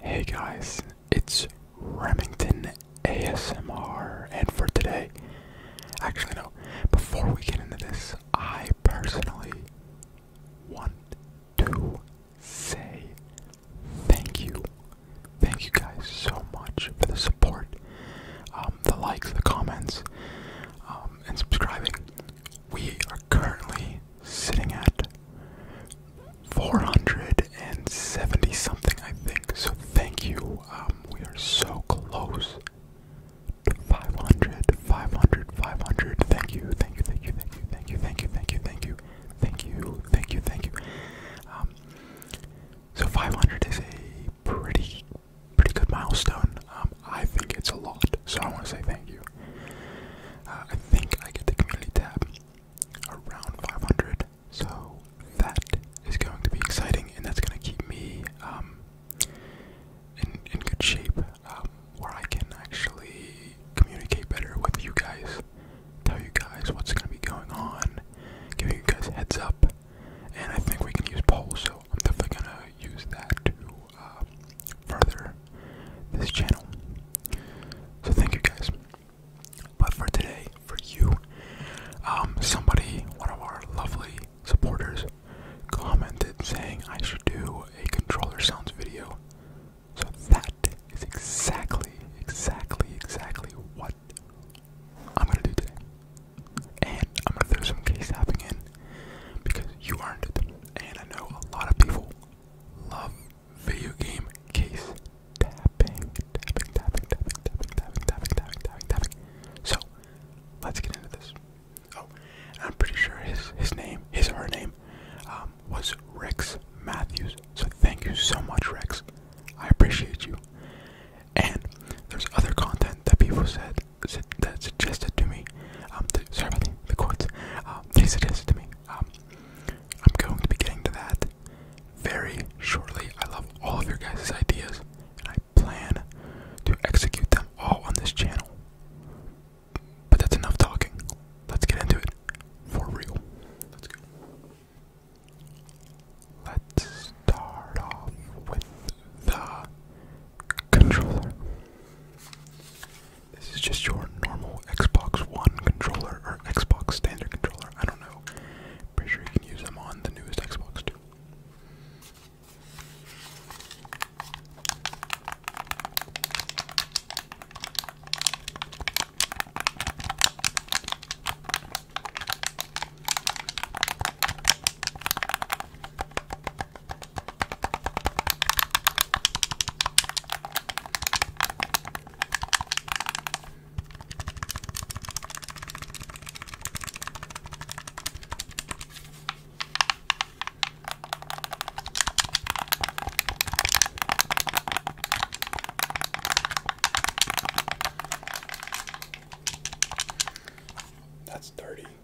Hey guys, it's Remington ASMR, and for today, actually, no, before we get into this, I personally want to say thank you. Thank you guys so much for the support, um, the likes, the comments, um, and subscribing. We are are currently sitting at 470 something, I think. So thank you. Um, we are so close to 500, 500, 500. Thank you, thank you, thank you, thank you, thank you, thank you, thank you, thank you, thank you, thank you, thank you. Um, so 500 is a pretty, pretty good milestone. Um, I think it's a lot. So I want to say thank you. Uh, I think I get the community tab around 500, so that is going to be exciting, and that's going to keep me um, in in good shape, um, where I can actually communicate better with you guys, tell you guys what's going to be going on, give you guys heads up, and I think we can use polls, so I'm definitely going to use that too. Uh, further this channel. So thank you guys. But for today, for you, um, somebody, one of our lovely supporters, commented saying I should do a controller sounds video. So that is exactly, exactly, exactly what I'm gonna do today. And I'm gonna throw some case tapping in because you earned it. And I know a lot of people love video game case tapping, tapping, tapping, tapping, tapping, tapping, tapping, tapping, tapping, So let's get into this. Oh, I'm pretty sure his his name, his her name, um, was Rex Matthews. So thank you so much, Rex. I appreciate you. And there's other content that people said that suggested to me, um, the, sorry about the, quotes, um, they suggested to me, um, I'm going to be getting to that very shortly. I love all of your guys' ideas, and I plan to execute them all on this channel. But that's enough talking. Let's get into it for real. Let's go. Let's start off with the controller. This is just your normal Xbox One controller or Xbox standard controller. I don't know. Pretty sure you can use them on the newest Xbox too. That's dirty.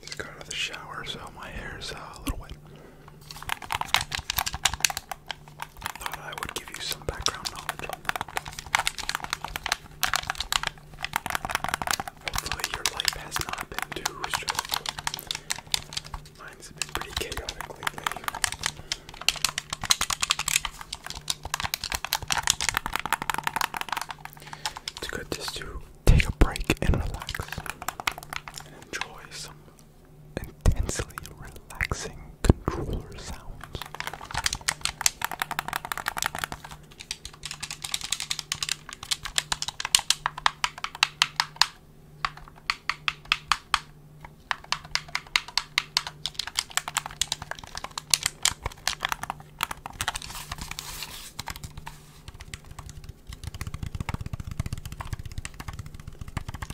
Just got out of the shower, so my hair's uh, a little wet. I thought I would give you some background knowledge on that. your life has not been too stressful. Mine's been pretty chaotic lately. It's good just to take a break and relax enjoy some intensely relaxing controller sounds.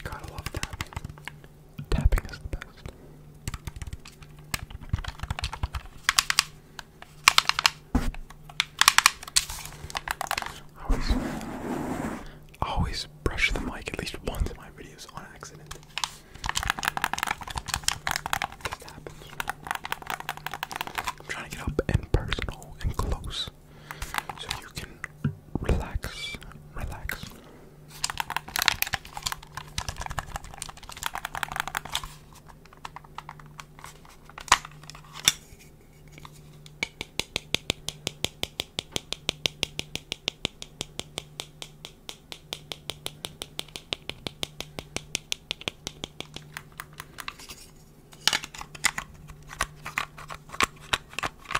Gotta love that. Tapping is the best. Always, always brush the mic at least once in my videos on accident. I'm trying to get up and personal and close so you can relax, relax.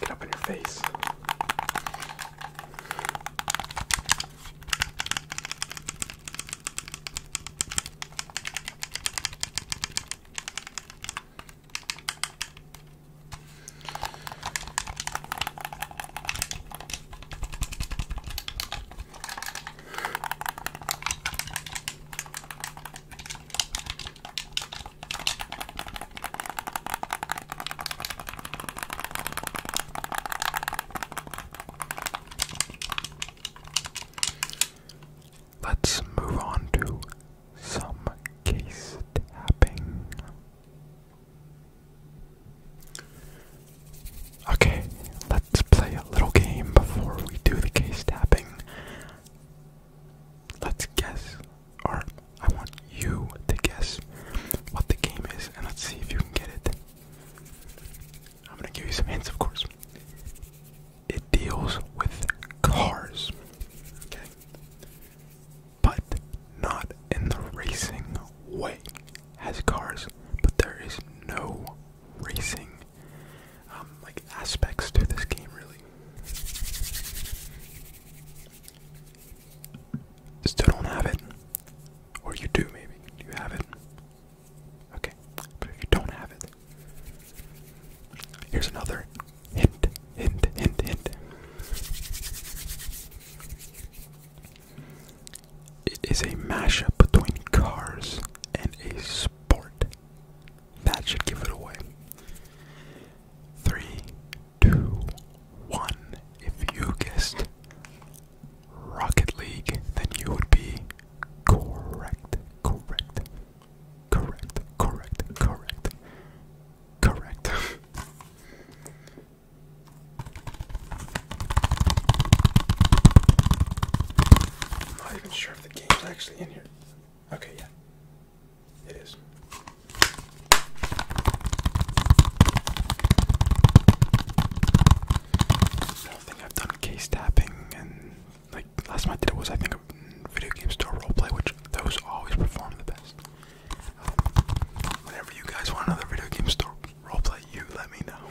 Get up in your face. Let's move on to some case tapping. Okay, let's play a little game before we do the case tapping. Let's guess, or I want you to guess what the game is, and let's see if you can get it. I'm gonna give you some hints, of course. It deals with cars, okay? But not in the racing way. Has cars, but there is no racing um, like aspects to this game really. Still don't have it. Or you do maybe. you have it? Okay. But if you don't have it. Here's another hint, hint, hint, hint. It is a mashup between cars and a sport. That should give it away. Three, two, one. If you guessed Rocket League, then you would be correct, correct, correct, correct, correct, correct. i not even sure if the game's actually in here. Okay, yeah. It is. I think I've done case tapping and like last time I did it was I think a video game store roleplay, which those always perform the best. Um, whenever you guys want another video game store roleplay, you let me know.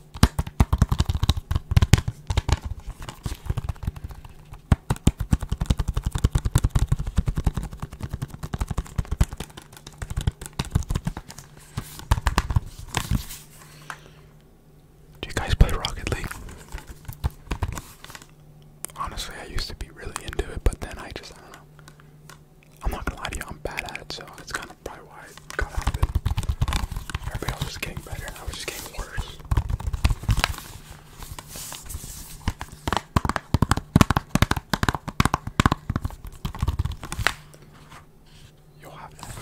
Do you guys play Rocket League? Honestly, I used to be really into it, but then I just, I don't know. I'm not gonna lie to you, I'm bad at it, so it's kind of probably why it got out of it. Everybody was getting better, and I was just getting worse. You'll have that.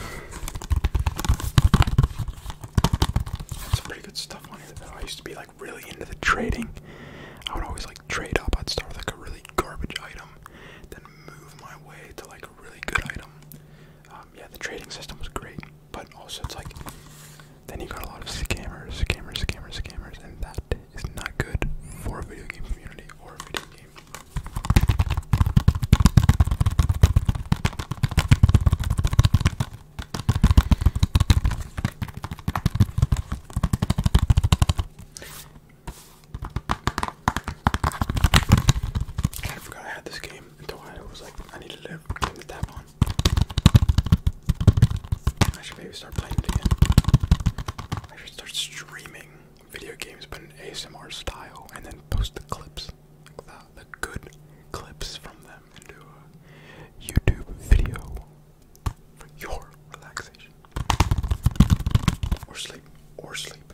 Some pretty good stuff on I used to be like really into the trading. I would always like trade up. I'd start with like a really garbage item, then move my way to like really good item. Um, yeah, the trading system was great, but also it's like then you got a lot of scammers, scammers, scammers, scammers, and that is not good for a video game community or a video game. Kind forgot I had this game until I was like, I needed a game to tap on. I should maybe start playing it again. I should start streaming video games, but in ASMR style, and then post the clips, like the, the good clips from them, into a YouTube video for your relaxation or sleep or sleep.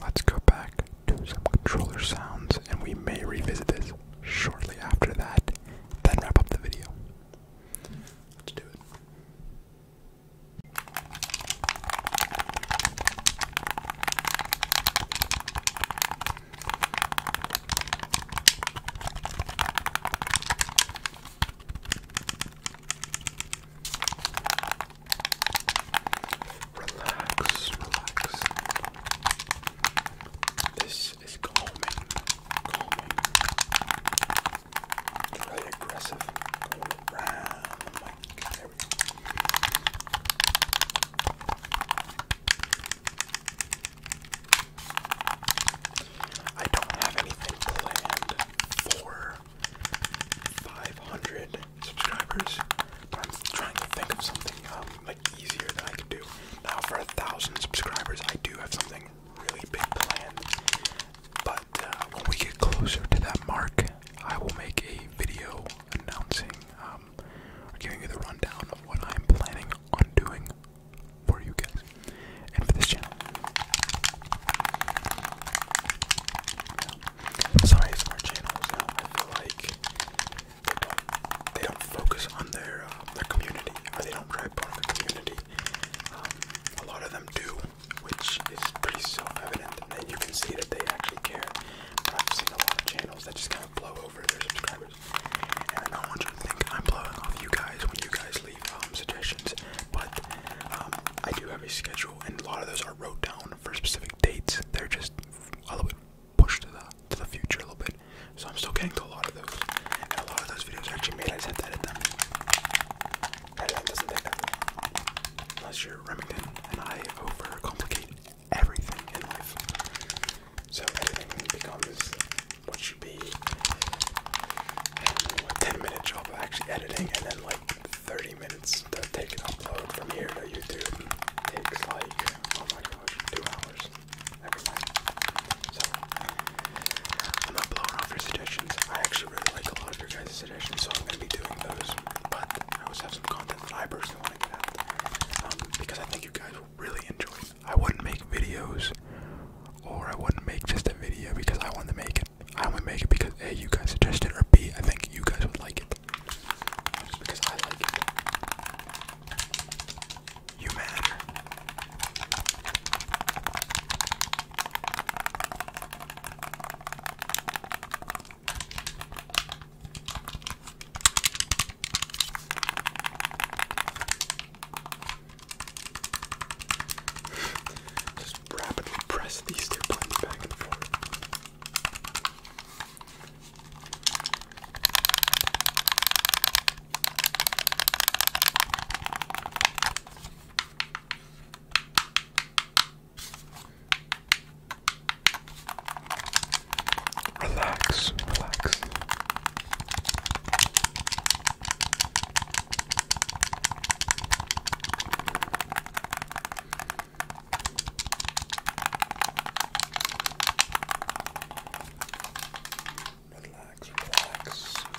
Let's go back to some controller sounds, and we may revisit this shortly after that, then wrap up the video. Let's do it. Relax, relax. This is calming, calming. It's really aggressive. Go around There we go. I don't have anything planned for 500 subscribers. I'm trying to think of something um, like easier that I can do. Now for a thousand subscribers, I do have something really big planned. But uh, when we get closer to that mark, I will make a video announcing um, giving you the rundown of what I'm planning on doing for you guys and for this channel. Some ASMR channels now, I feel like they don't, they don't focus on their um, their community, or they don't rap on the community. Um, a lot of them do, which is pretty self-evident, and you can see that they actually care. But I've seen a lot of channels that just kind of blow over their subscribers, and I don't want you to think I'm blowing off you guys when you guys um, suggestions. But um, I do have a schedule, and a lot of those are wrote down for specific dates. They're just a little bit pushed to the to the future a little bit. So I'm still getting to a lot of those, and a lot of those videos are actually made. I just have to edit them. Unless you're Remington, and I overcomplicate everything in life. So everything becomes what should be a 10 minute job of actually editing and then like 30 minutes to take an upload from here to YouTube takes like, oh my gosh, two hours every time. So, I'm not blowing off your suggestions. I actually really like a lot of your guys' suggestions, so I'm going to be doing those. But I always have some content that I personally want to get out um, because I think you guys will really enjoy I wouldn't make videos or I wouldn't make just a video because I want to make it. I only make it because A you guys suggested or B I think you guys would like it. Just because I like it. You matter. Just rapidly press these two buttons back and forth. Relax, relax. Relax, relax,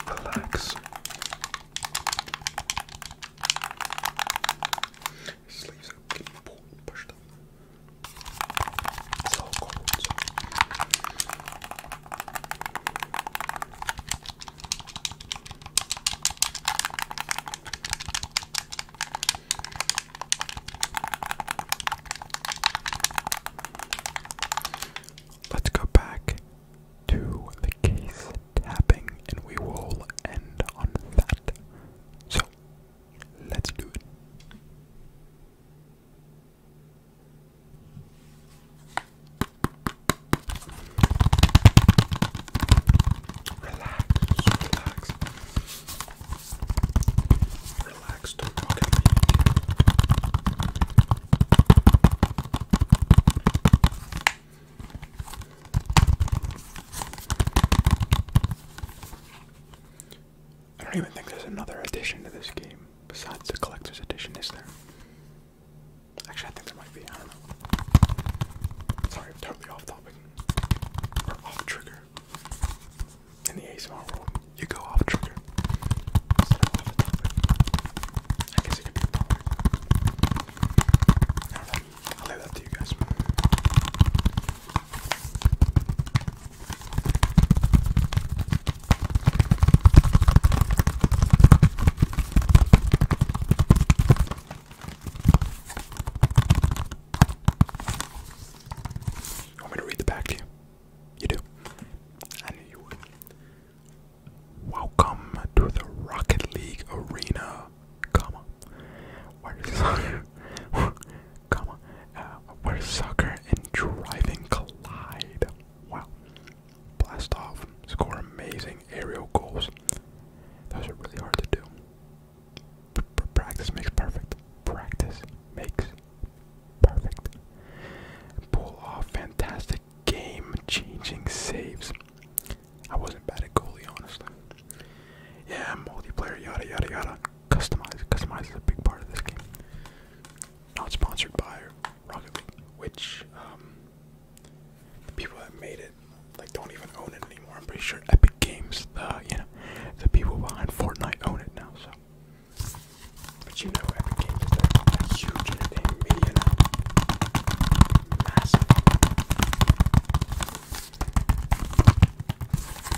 relax. Sleeves up, keep pulled and pushed up. It's all cold. So. Let's go back to the case tapping and we will end on that. So, let's do it relax, relax, don't talk at me. I don't even think there's another edition to this game besides the collector's edition, is there? Actually, I think there might be. I don't know. Sorry, I'm totally off topic. Or off trigger. In the ASMR world, you go off trigger. I guess it could be a I'll leave that to you guys. You want me to read the back to you? do. Welcome to the Rocket League Arena, comma. Where comma, uh, where soccer and driving collide. Wow. Blast off, score amazing aerial goals. Those are really hard to do. practice makes perfect. Practice makes perfect. Pull off fantastic game changing saves. I wasn't bad at goalie, honestly. Yeah, multiplayer, yada yada yada. Customize. Customize is a big part of this game not sponsored by Rocket League, which um, the people that made it like don't even own it anymore. I'm pretty sure Epic Games, the uh, you know, the people behind Fortnite own it now. So, but you know, Epic Games is a huge entertainment media massive.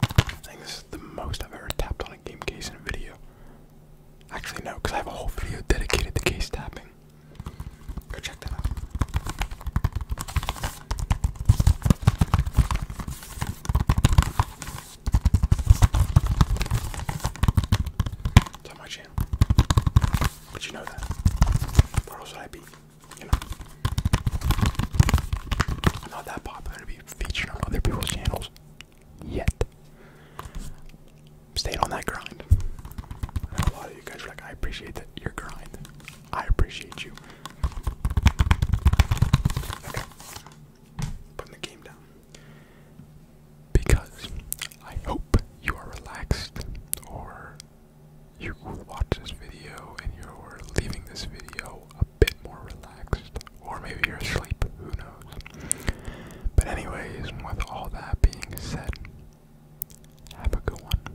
I think this is the most I've ever tapped on a game case in a video. Actually, no, because I have a whole video dedicated to case tapping. Go check that out. It's my channel. But you know that. Or else would I be, you know, not that popular to be featured on other people's channels yet. Stayed on that grind. a lot of you guys are like, I appreciate that your grind. I appreciate you. Okay. Putting the game down. Because I hope you are relaxed or you watch this video and you're leaving this video a bit more relaxed, or maybe you're asleep, who knows. But, anyways, with all that being said, have a good one.